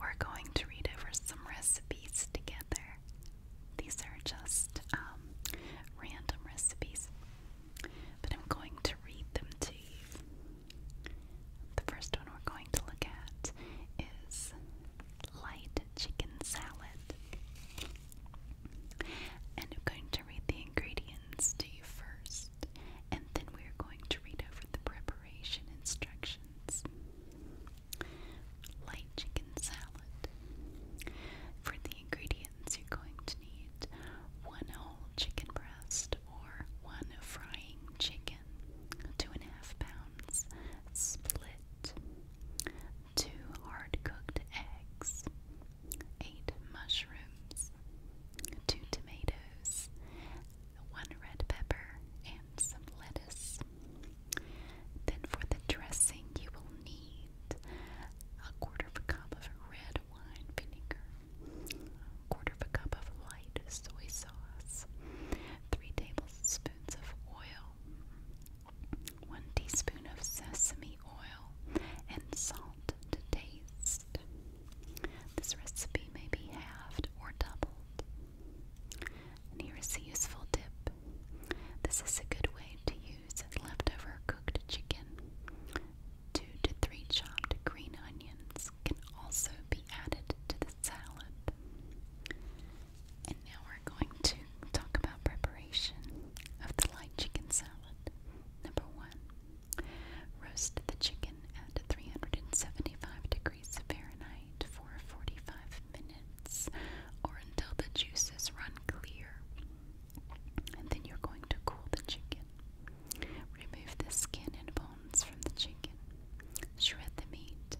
We're going to read over some recipes together. These are just um, random recipes, but I'm going to read them to you. The first one we're going to look at is light chicken salad. And I'm going read the ingredients to you first, and then we are going to read over the preparation instructions. Light chicken salad. For the ingredients, you're going to need one whole chicken breast or one frying chicken, two and a half pounds, split, two hard cooked eggs, 8 mushrooms, 2 tomatoes, 1 red pepper, and some lettuce. Then for the dressing, you will need a quarter of a cup of red wine vinegar, a quarter of a cup of light soy sauce, 3 tablespoons of oil, 1 teaspoon of sesame oil, and salt to taste. This recipe may be halved or doubled. here is a useful tip. This is a good way to use leftover cooked chicken. Two to three chopped green onions can also be added to the salad. And now we're going to talk about preparation of the light chicken salad. Number one, Roast the chicken at 375 degrees Fahrenheit for 45 minutes or until the juices run clear. And then you're going to cool the chicken. Remove the skin and bones from the chicken. Shred the meat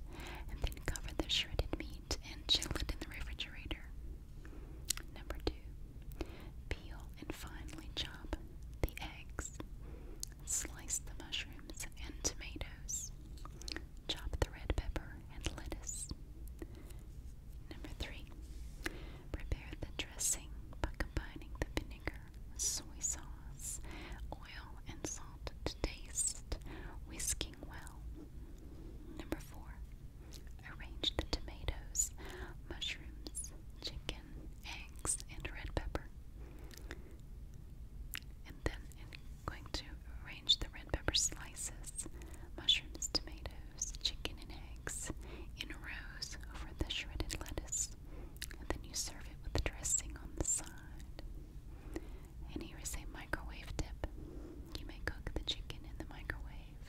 and then cover the shredded meat and chill it in the refrigerator. Number two, Peel and finely chop the eggs. Slice the mushrooms and tomatoes. Chop the red pepper and lettuce. Number three, prepare the dressing by combining the vinegar, soy sauce, oil, and salt to taste, whisking well. Number four, arrange the tomatoes, mushrooms, chicken, eggs, and red pepper. And then going to arrange the red pepper slices, mushrooms, tomatoes, chicken, and eggs in rows over the shredded lettuce. And then you serve it with the dressing on the side. And here is a microwave tip. You may cook the chicken in the microwave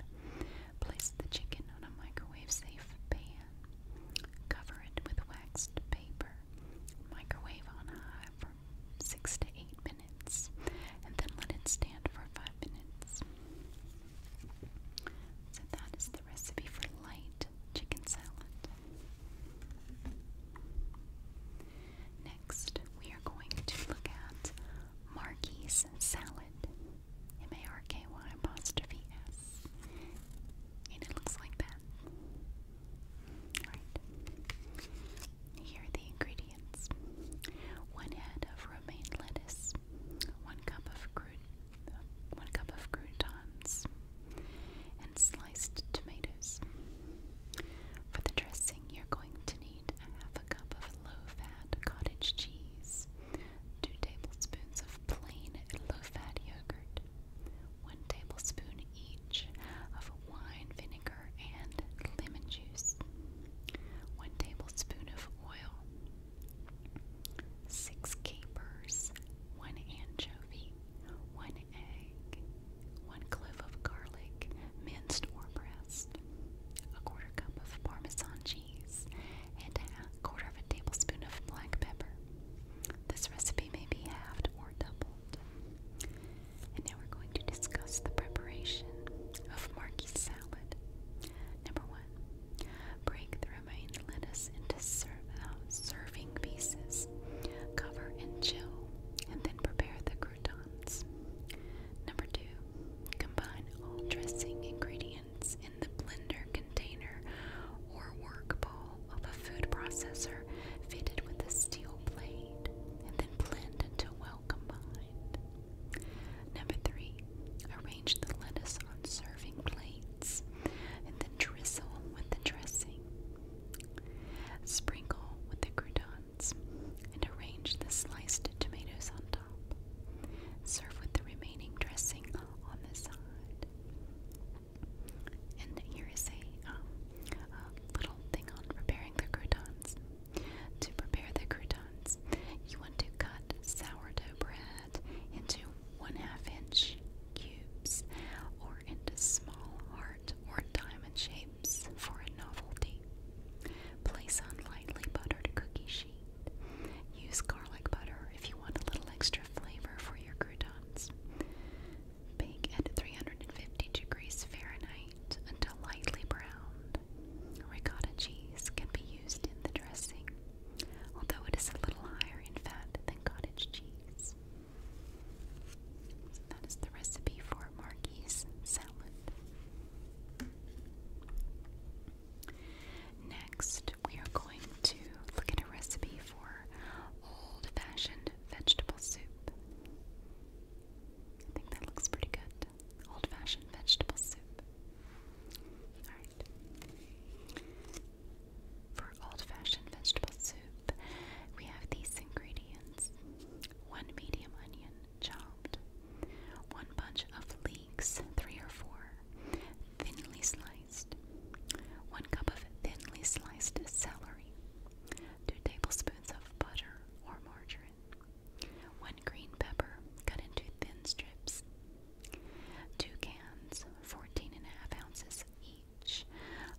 Place the chicken on a microwave safe pan. Cover it with waxed paper. Microwave on high for 6 to 8 minutes and then let it stand for 5 minutes. So that is the recipe for light chicken salad. Next, we are going to look at Marquis salad. Marklet. M A R K Y apostrophe S. And it looks like that. Alright. Here are the ingredients one head of romaine lettuce, one cup of crude, one cup of croutons, and sliced tomatoes. For the dressing, you're going to need half a cup of low-fat cottage cheese, 2 tablespoons of plain low-fat yogurt, 1 tablespoon each of wine vinegar and lemon juice, 1 tablespoon of oil, 6 capers, 1 anchovy, 1 egg, 1 clove of garlic, minced or pressed, a quarter cup of parmesan cheese, and a quarter of a tablespoon of black pepper. This recipe may be halved or doubled. And now we're going to discuss the preparation of marquee salad. Number one, break the remaining lettuce into uh, serving pieces, cover and chill, and then prepare the croutons. Number two, combine all dressing ingredients in the blender container or work bowl of a food processor fitted with a steel blade and then blend until well combined. Number three, arrange the lettuce on serving plates and then drizzle with the dressing. Sprinkle with the croutons and arrange the sliced tomatoes on top. Serve with the remaining dressing on the side. And here is um, a, little thing on preparing the croutons. To prepare the croutons, you want to cut sourdough bread into one half inch cubes or into small heart or diamond shapes for a novelty. Place on lightly buttered cookie sheet. Use garlic butter if you want a little extra flavor for your croutons. Bake at 350 degrees Fahrenheit until lightly browned. Ricotta cheese can be used in the dressing, although it is a little higher in fat than cottage cheese. that is the recipe for Marquis salad. Next, we are going to look at a recipe for old fashioned vegetable soup. I think that looks pretty good. Old fashioned vegetable soup. Alright. For old fashioned vegetable soup, we have these ingredients one medium onion, chopped, one bunch of leeks, three or four, thinly sliced. 1 cup of thinly sliced celery, 2 tablespoons of butter or margarine, 1 green pepper cut into thin strips, 2 cans, 14 and a half ounces each,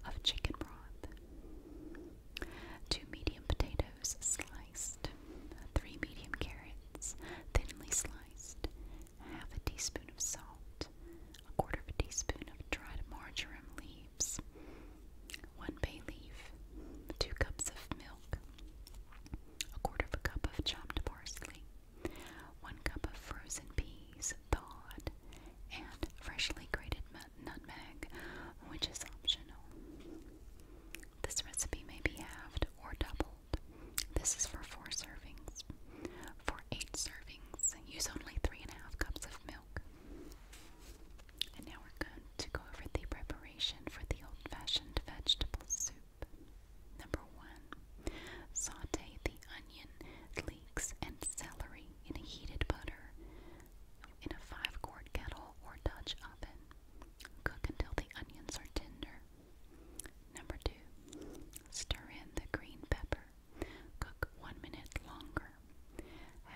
of chicken broth, 2 medium potatoes sliced, 3 medium carrots thinly sliced, half a teaspoon of salt, a quarter of a teaspoon of dried marjoram leaves, one bay leaf, two cups of milk, a quarter of a cup of chopped parsley, one cup of frozen peas thawed, and freshly grated nutmeg, which is optional. This recipe may be halved or doubled this is for four servings. For eight servings, use only three and a half cups of milk. And now we're going to go over the preparation for the old fashioned vegetable soup. Number one, saute the onion, leeks, and celery in heated butter in a five quart kettle or Dutch oven. Cook until the onions are tender. Number two, stir in the green pepper. Cook one minute longer.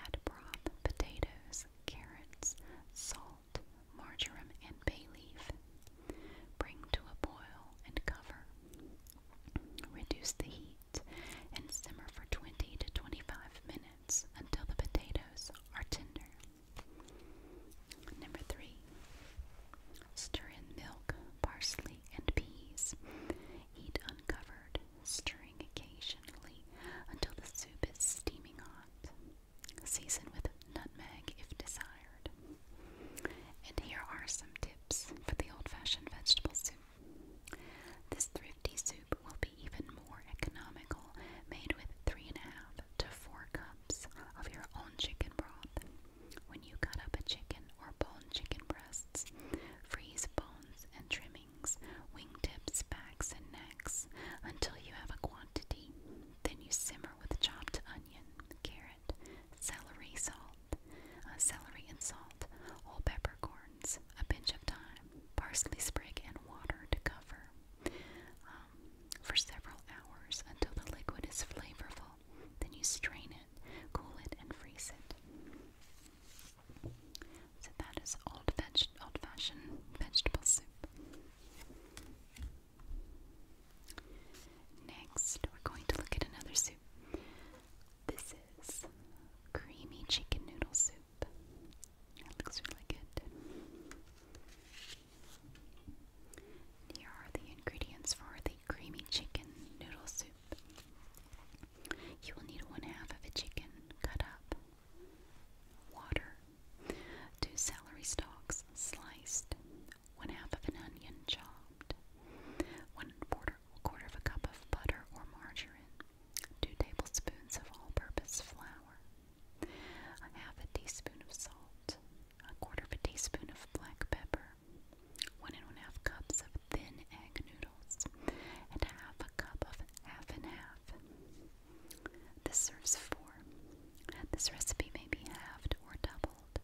Add broth, potatoes, carrots, salt, marjoram, and bay leaf. Bring to a boil and cover. Reduce the heat and simmer for 20 to 25 minutes until the potatoes are tender. Number three, Stir in milk, parsley, and peas. Eat uncovered, stirring occasionally until the soup is steaming hot. Season with nutmeg if desired. And here are some tips for the old fashioned vegetable soup. This thrifty soup will be even more economical, made with three and a half to four cups of your own chicken broth. When you cut up a chicken or bone chicken breasts, freeze bones and trimmings, wingtips, backs, and necks until you have a quantity. Then you simmer with chopped onion, carrot, celery, salt, uh, celery and salt, whole peppercorns, a pinch of thyme, parsley sprig, and water to cover um, for several hours until the liquid is flavorful then you strain it, cool it, and freeze it. So that is old veg old-fashioned vegetable soup. Next, we're going to look at another soup. This is creamy chicken noodle soup. That looks really good. Here are the ingredients for the creamy chicken noodle soup. You will need one half of a chicken cut up, water, two celery stalks sliced, one half of an onion chopped, one quarter, quarter of a cup of butter or margarine, two tablespoons of all-purpose flour, a half a teaspoon of salt, a quarter of a teaspoon of black pepper, one and one half cups of thin egg noodles, and half a cup of half and half. This serves four. This recipe may be halved or doubled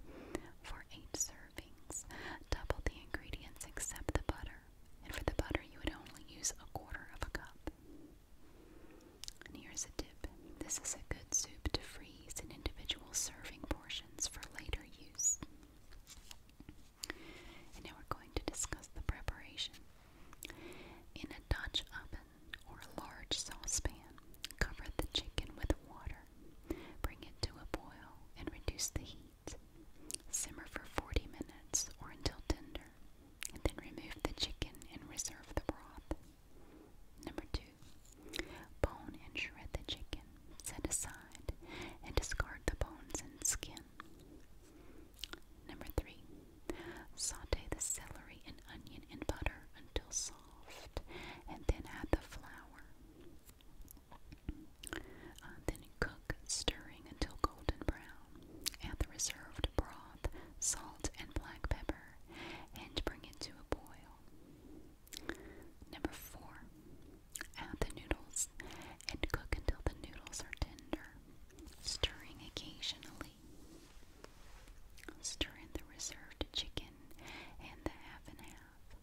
for eight servings. Double the ingredients except the butter, and for the butter, you would only use a quarter of a cup. And here's a tip this is a good soup to freeze in individual serving portions for later use. And now we're going to discuss the preparation. In a Dutch oven or a large saucepan, cover the chicken with water, bring it to a boil, and reduce the heat. Simmer for 40 minutes or until tender, and then remove the chicken and reserve the broth. Number two, Bone and shred the chicken, set aside, and discard the bones and skin. Number three, saute the celery and onion in butter until soft, and then add the flour. Uh, then cook, stirring until golden brown. Add the reserved broth, salt, and black pepper, and bring it to a boil. Number four, Add the noodles and cook until the noodles are tender, stirring occasionally. Stir in the reserved chicken and the half and half.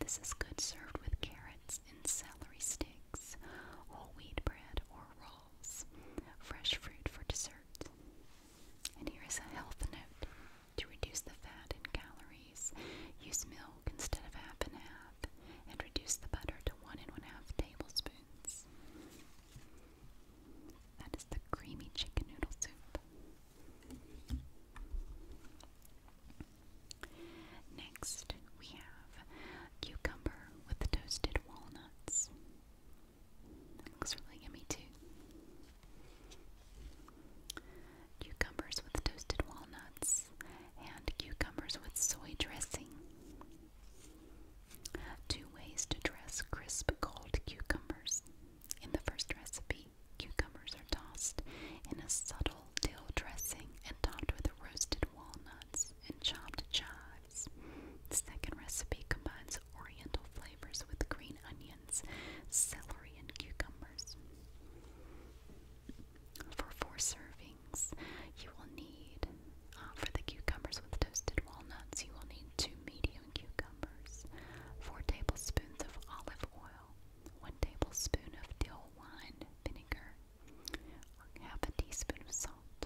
This is good served with carrots and celery sticks, whole wheat bread or rolls, fresh fruit for dessert. And here is a health note to reduce the fat and calories, use milk instead of half and half, and reduce the butter to one and one half tablespoons. That is the creamy chicken noodle soup. Next, we have cucumber with toasted walnuts. looks really yummy, too. Cucumbers with toasted walnuts and cucumbers with soy dressing. Two ways to dress crisp cold cucumbers. In the first recipe, cucumbers are tossed in a subtle dill dressing and topped with roasted walnuts and chopped chives. The second recipe combines oriental flavors with green onions, celery, and cucumbers. For four servings, you will need, uh, for the cucumbers with toasted walnuts, you will need two medium cucumbers, four tablespoons of olive oil, one tablespoon of dill wine vinegar, half a teaspoon of salt,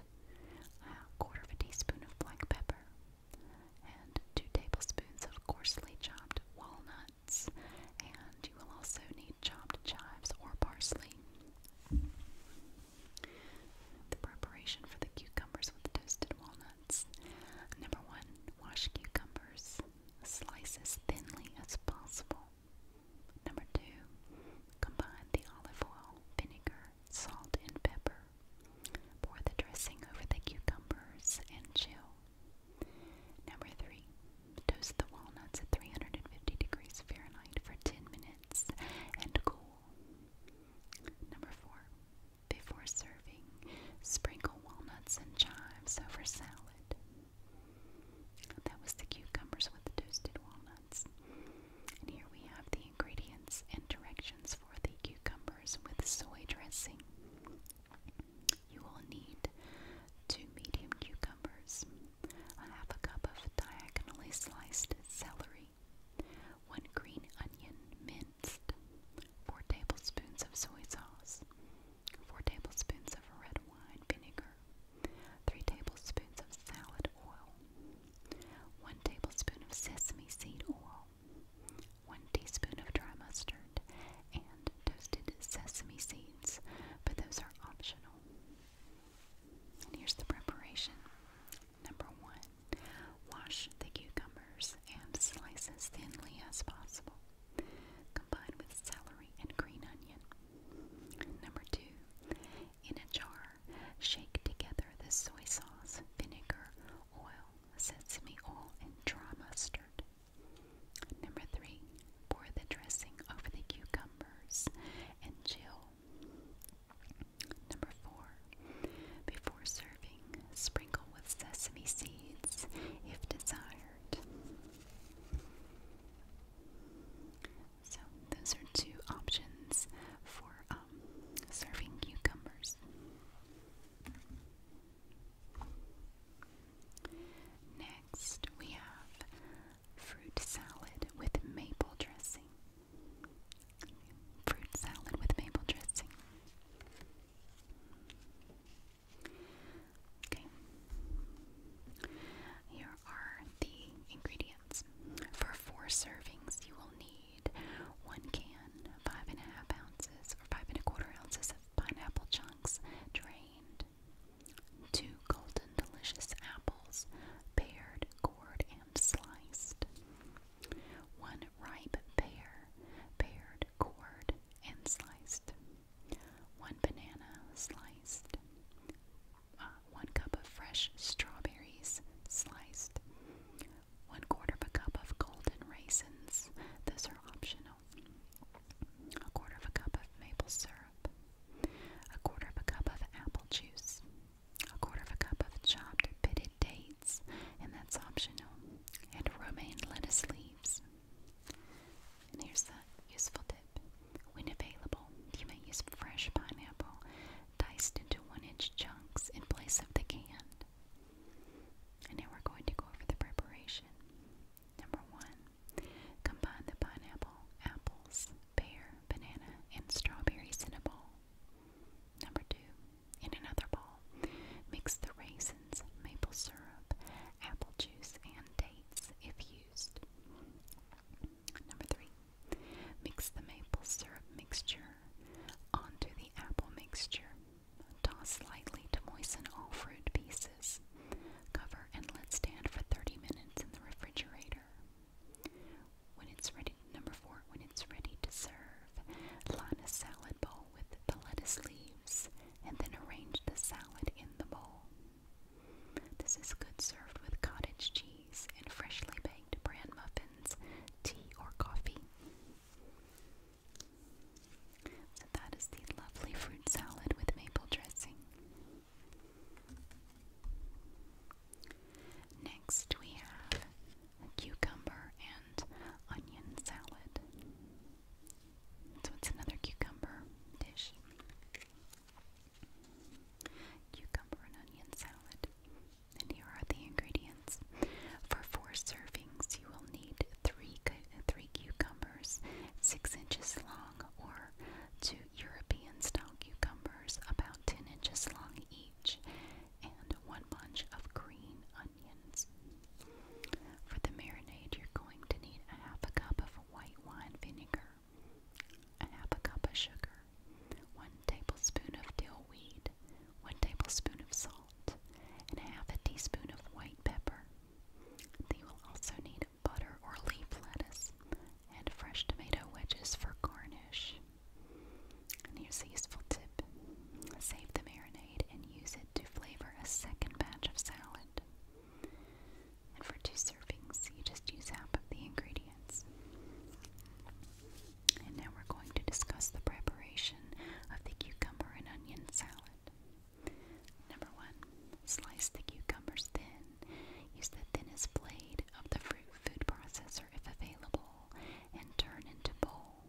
a quarter of a teaspoon of black pepper, and two tablespoons of coarsely chopped walnut and you will also need chopped chives or parsley. The preparation for the cucumbers with toasted walnuts. Number one, wash cucumbers, slice as thinly as possible. Number two, combine the olive oil, vinegar, salt, and pepper. Pour the dressing over the cucumbers and chill. Number three, toast the walnuts at 350 degrees Fahrenheit for 10 minutes and cool. Number four, before serving, sprinkle walnuts and chives over salad. That was the cucumbers with toasted walnuts. here we have the ingredients and directions for the cucumbers with soy dressing. You will need two medium cucumbers, a half a cup of diagonally sliced celery, one green onion minced, four tablespoons of soy sauce, four tablespoons of red wine vinegar, three tablespoons of salad oil, one tablespoon of sesame seed oil, 1 teaspoon of dry mustard, and toasted sesame seeds, but those are optional. here's the preparation. Number one, wash the cucumbers and slice as thinly as possible. Combine with celery and green onion. Number two, in a jar, shake together the soy sauce, vinegar, oil, sesame oil, and dry mustard. Number three, pour the dressing over the cucumbers and chill. Number four, before serving, sprinkle with sesame seeds if desired. So, those are two options for um, serving cucumbers. Next, we have fruit salad with maple dressing. Fruit salad with maple dressing. Okay. Here are the ingredients. For four servings, you will need one can, five and a half ounces, or five and a quarter ounces of pineapple chunks drained, two golden delicious apples, pared, cored, and sliced, one ripe pear, pared, cored, and sliced, one banana sliced, uh, one cup of fresh strawberries sliced, one quarter of a cup of golden raisins. Those are optional a quarter of a cup of maple syrup, a quarter of a cup of apple juice, a quarter of a cup of chopped pitted dates, and that's optional, and romaine lettuce leaves. And here's the useful tip. When available, you may use fresh pineapple diced into one inch chunks in place of the canned. And now we're going to go over the preparation. Number one, combine the pineapple, apples, pear, banana, and strawberry in Number two, in another bowl, mix the raisins, maple syrup, apple juice, and dates if used. Number three, mix the maple syrup mixture onto the apple mixture Toss lightly to moisten all fruit pieces. Cover and let stand for 30 minutes in the refrigerator. When it's ready, number four, when it's ready to serve, line a salad bowl with the lettuce leaves and then arrange the salad in the bowl. This is good served with cottage cheese and freshly baked bran muffins, tea, or coffee. So that is the lovely fruit salad with maple dressing. Next, we have cucumber and onion salad. So it's another cucumber dish. Cucumber and onion salad. And here are the ingredients. For four servings, this, you will need three, three cucumbers, six inches long, or two European style cucumbers, about 10 inches long each, and one bunch of green onions. For the marinade, you're going to need a half a cup of white wine vinegar, a half a cup of sugar, one tablespoon of dill weed, one tablespoon of salt, and half a teaspoon of white pepper. They will also need butter or leaf lettuce and fresh tomato wedges for garnish. And here's a useful tip. Save the marinade and use it to flavor a second batch of salad. And for two servings, you just use half of the ingredients. And now we're going to discuss the preparation of the cucumber and onion salad. Number one, slice the cucumbers thin. Use the thinnest blade of the fruit food processor if available and turn into bowl.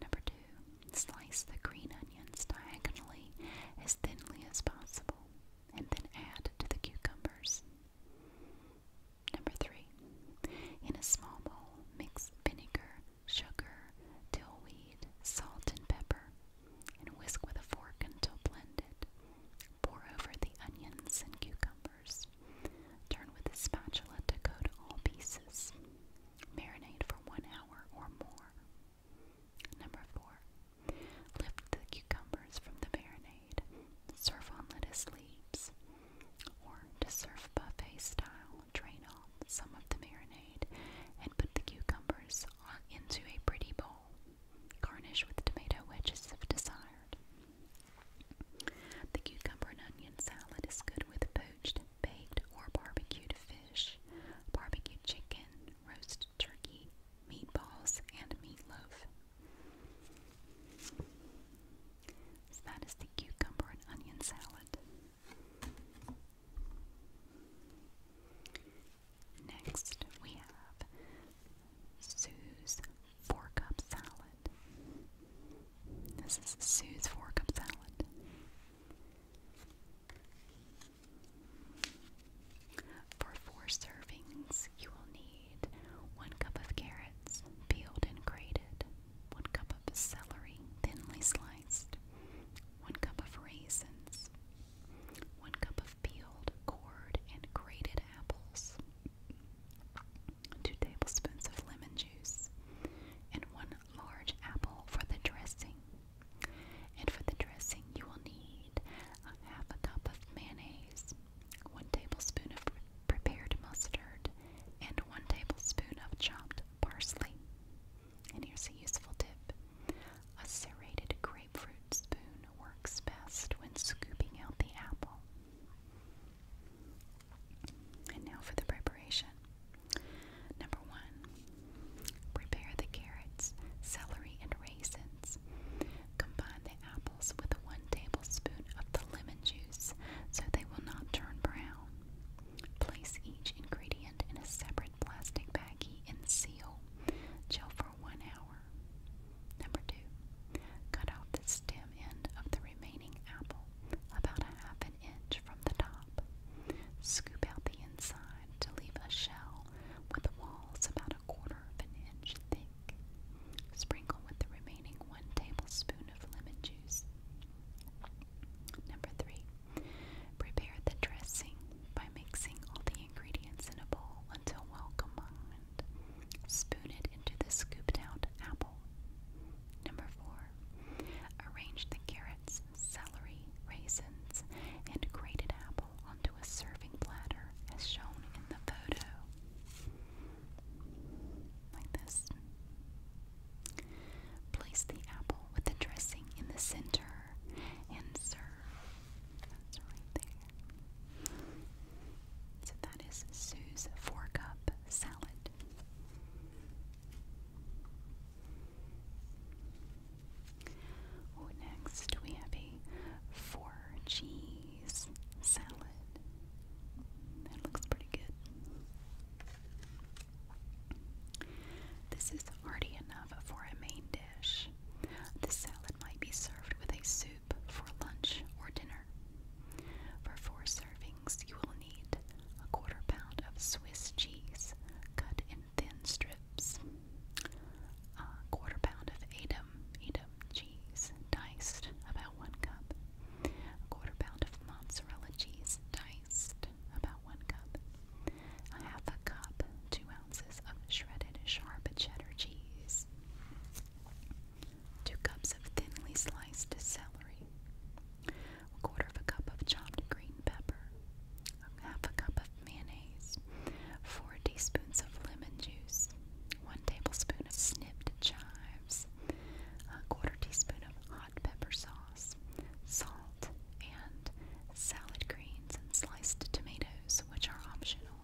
Number two, slice the green onions diagonally as thinly as possible and then add to the cucumbers. Number three, in a small bowl, mix vinegar, sugar, dill weed, salt, and pepper and whisk with a fork until blended. Pour over the onions and cucumbers. Turn with a spatula to coat all pieces. Marinate for one hour or more. Number four, lift the cucumbers from the marinade. Serve on lettuce leaves. Or to serve buffet style, drain off some of the marinade and put the cucumbers into a pretty bowl. Garnish with tomato wedges if desired. The cucumber and onion salad is good with poached, baked, or barbecued fish, barbecued chicken, roast turkey, meatballs, and meatloaf. that is the cucumber and onion salad. Next, we have Sue's Four Cup Salad. This is Sue's Four Cup Salad. For four servings, you will need one cup of carrots, peeled and grated, one cup of celery, thinly sliced, one cup of raisins, 1 cup of peeled, cored, and grated apples, 2 tablespoons of lemon juice, and 1 large apple for the dressing. And for the dressing, you will need a half a cup of mayonnaise, 1 tablespoon of prepared mustard, and 1 tablespoon of chopped parsley. And here's a useful tip a serrated grapefruit spoon works best when scooping out the apple. And now for the preparation. Number one, prepare the carrots, celery, and raisins. Combine the apples with one tablespoon of the lemon juice so they will not turn brown. Place each ingredient in a separate separate plastic baggie and seal. Chill for one hour. Number two, cut off the stem end of the remaining apple about a half an inch from the top. Scoop out the inside to leave a shell with walls about a quarter of an inch thick. Sprinkle with the remaining one tablespoon of lemon juice. Number three, Prepare the dressing by mixing all the ingredients in a bowl until well combined. Spoon it into the scooped out apple. Number four, arrange the carrots, celery, raisins, and grated apple onto a serving platter as shown in the photo. Like this. Place the apple with the dressing in the center and serve. That's right there. So that is Sue's four cup salad. Oh, next we have a four cheese salad. That looks pretty good. This is hearty enough for a main dish. The salad might be served with a soup for lunch or dinner. For four servings, you will need a quarter pound of Swiss cheese cut in thin strips, a quarter pound of Edam, Edam cheese diced about one cup, a quarter pound of mozzarella cheese diced about one cup, I have a cup, two ounces of shredded sharp cheddar cheese, two cups of thinly sliced celery, a quarter of a cup of chopped green pepper, half a cup of mayonnaise, four teaspoons of lemon juice, one tablespoon of snipped chives, a quarter teaspoon of hot pepper sauce, salt, and salad greens, and sliced tomatoes, which are optional.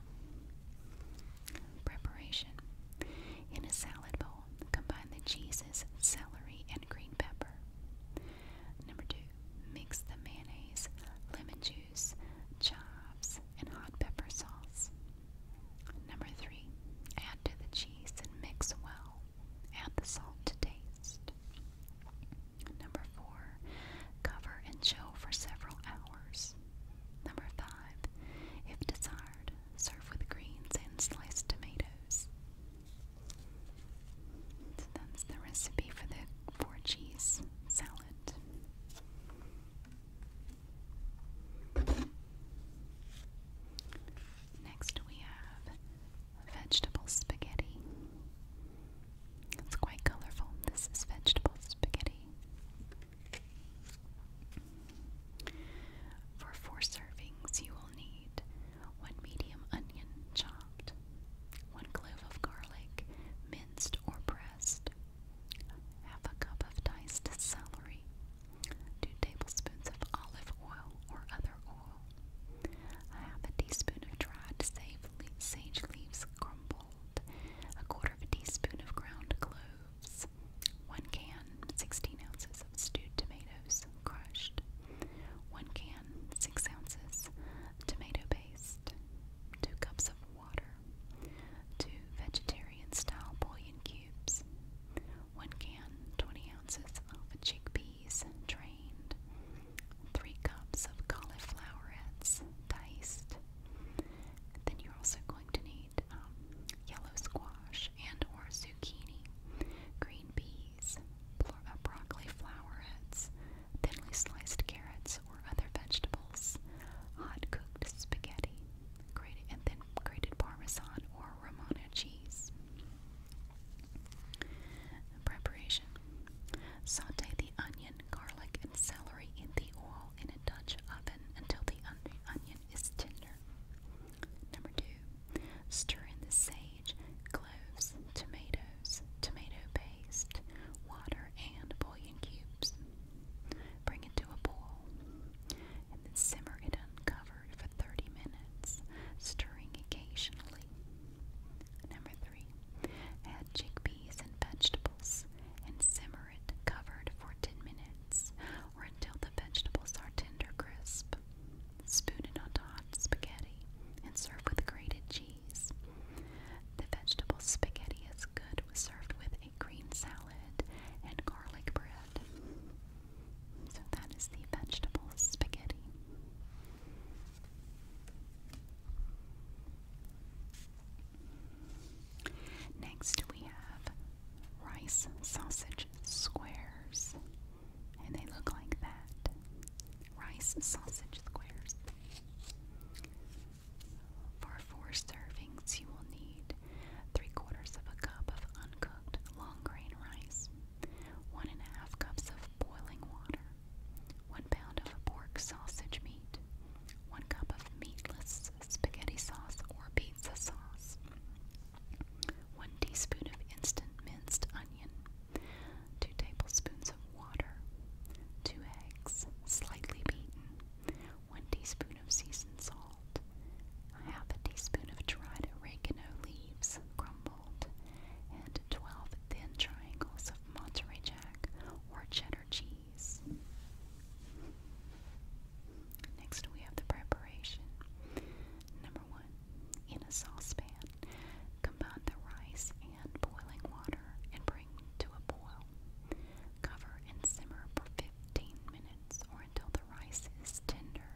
Preparation In a salad bowl, combine the cheeses, celery, and green pepper. Number two, mix the mayonnaise, lemon juice, chives, and hot pepper sauce. Number three, add to the cheese and mix well. Add the salt to taste. Number four, cover and chill for several hours. Number five, if desired, serve with greens and sliced tomatoes. that's the recipe for the four cheese salad. Next, we have vegetable spaghetti. It's quite colorful. This is vegetable spaghetti. For four servings, you will need one medium onion chopped, one clove of garlic minced or pressed, half a cup of diced celery, two tablespoons of olive oil or other oil, half a teaspoon of dried sage leaves crumbled, bold, a quarter of a teaspoon of ground cloves, one can, 16 ounces of stewed tomatoes, crushed, one can, 6 ounces tomato paste, two cups of water, two vegetarian style bouillon cubes, one can, 20 ounces of chickpeas, drained, three cups of cauliflower heads diced. Then you're also going to need um, yellow squash and or zucchini, green peas, uh, broccoli flower flowerets, thinly sliced carrots or other vegetables, hot cooked spaghetti, grated, and then grated parmesan or Romano cheese. Preparation Saute the onion, garlic, and celery in the oil in a Dutch oven until the onion is tender. Number two, stir in the sage, cloves, tomatoes, tomato paste, water, and bouillon cubes. Bring it to a boil and then simmer it uncovered for 30 minutes, stirring occasionally. Number three, add chickpeas and vegetables and simmer it covered for 10 minutes or until the vegetables are tender crisp. Spoon into hot spaghetti and serve with grated cheese. The vegetable spaghetti is good served with a green salad and garlic bread. So that is the vegetable spaghetti. Next, we have rice sausage squares, and they look like that rice sausage squares. For four servings, you will need three quarters of a cup of uncooked long grain rice, one and a half cups of boiling water, 1 pound of pork sausage meat, 1 cup of meatless spaghetti sauce or pizza sauce, 1 teaspoon of instant minced onion, 2 tablespoons of water, 2 eggs, slightly beaten, 1 teaspoon of seasoned salt, half a teaspoon of dried oregano leaves crumbled, and 12 thin triangles of Monterey Jack or cheddar cheese. Next, we have the preparation. Number one, in a saucepan, combine the rice and boiling water and bring to a boil. Cover and simmer for 15 minutes or until the rice is tender.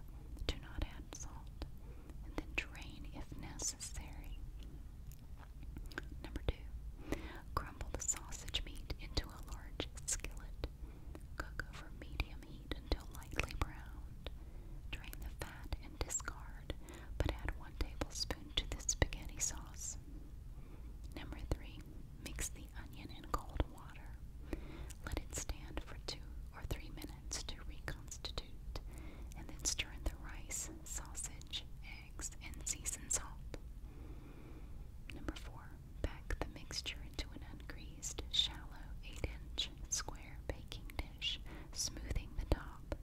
Do not add salt. And then drain if necessary. Number two, crumble the sausage meat into a large skillet. Cook over medium heat until lightly browned. Drain the fat and discard, but add one tablespoon to the spaghetti sauce. Number three, mix the onion in cold water. Let it stand for two or three minutes to reconstitute, and then stir in the rice, sausage, and seasoned salt. Number four, pack the mixture into an ungreased, shallow 8-inch square baking dish, smoothing the top.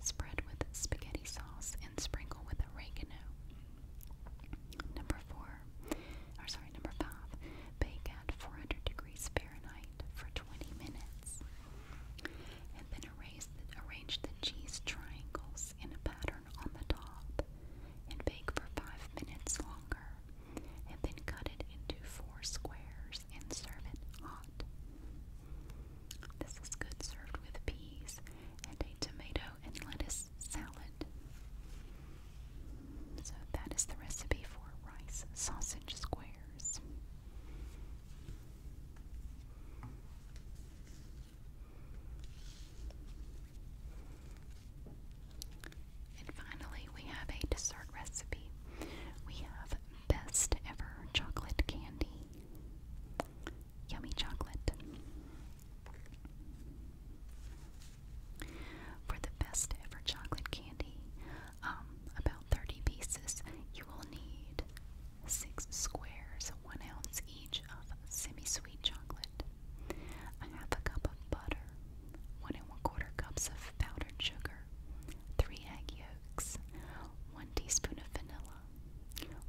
Spread with spaghetti sauce and sprinkle with oregano. Number four, or sorry, number five, bake at 400 degrees Fahrenheit for 20 minutes. And then arrange the cheese triangles in a pattern on the top and bake for five minutes longer, and then cut it into four squares and serve it hot. This is good served with peas and a tomato and lettuce salad. So that is the recipe for rice sausage squares. And finally, we have a dessert recipe. We have best ever chocolate candy. Yummy chocolate. For the best ever chocolate candy, um, about 30 pieces, you will need six squares one ounce each of semi-sweet chocolate, a half a cup of butter, one and one quarter cups of powdered sugar, three egg yolks, one teaspoon of vanilla,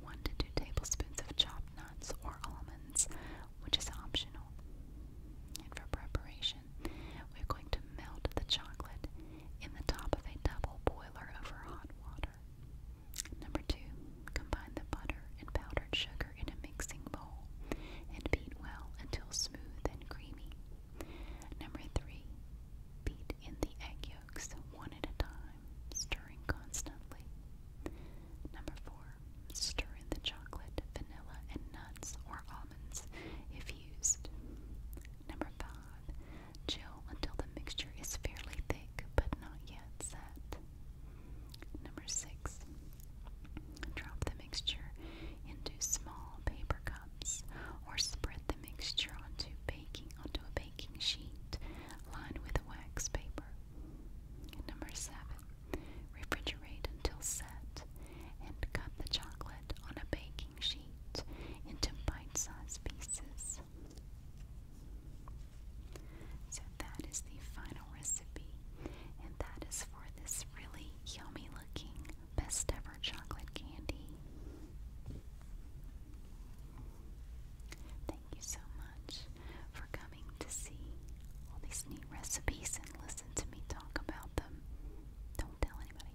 one to two tablespoons of chopped nuts or almonds, which is optional. And for preparation, we're going to melt the chocolate in the top of a double boiler over hot water. Number two, combine the butter and powdered sugar in a mixing bowl and beat well until smooth and creamy. Number three, beat in the egg yolks one at a time, stirring constantly. Number four, stir in the chocolate, vanilla, and nuts or almonds if used. Number five, Chill until the mixture is fairly thick but not yet set. Number six, drop the mixture into small paper cups or spread the mixture onto baking onto a baking sheet lined with wax paper. Number seven, refrigerate until set and cut the chocolate on a baking sheet into bite-sized pieces. So that is the final recipe, and that is for this really yummy looking best ever chocolate candy. Thank you so much for coming to see all these neat recipes and listen to me talk about them. Don't tell anybody.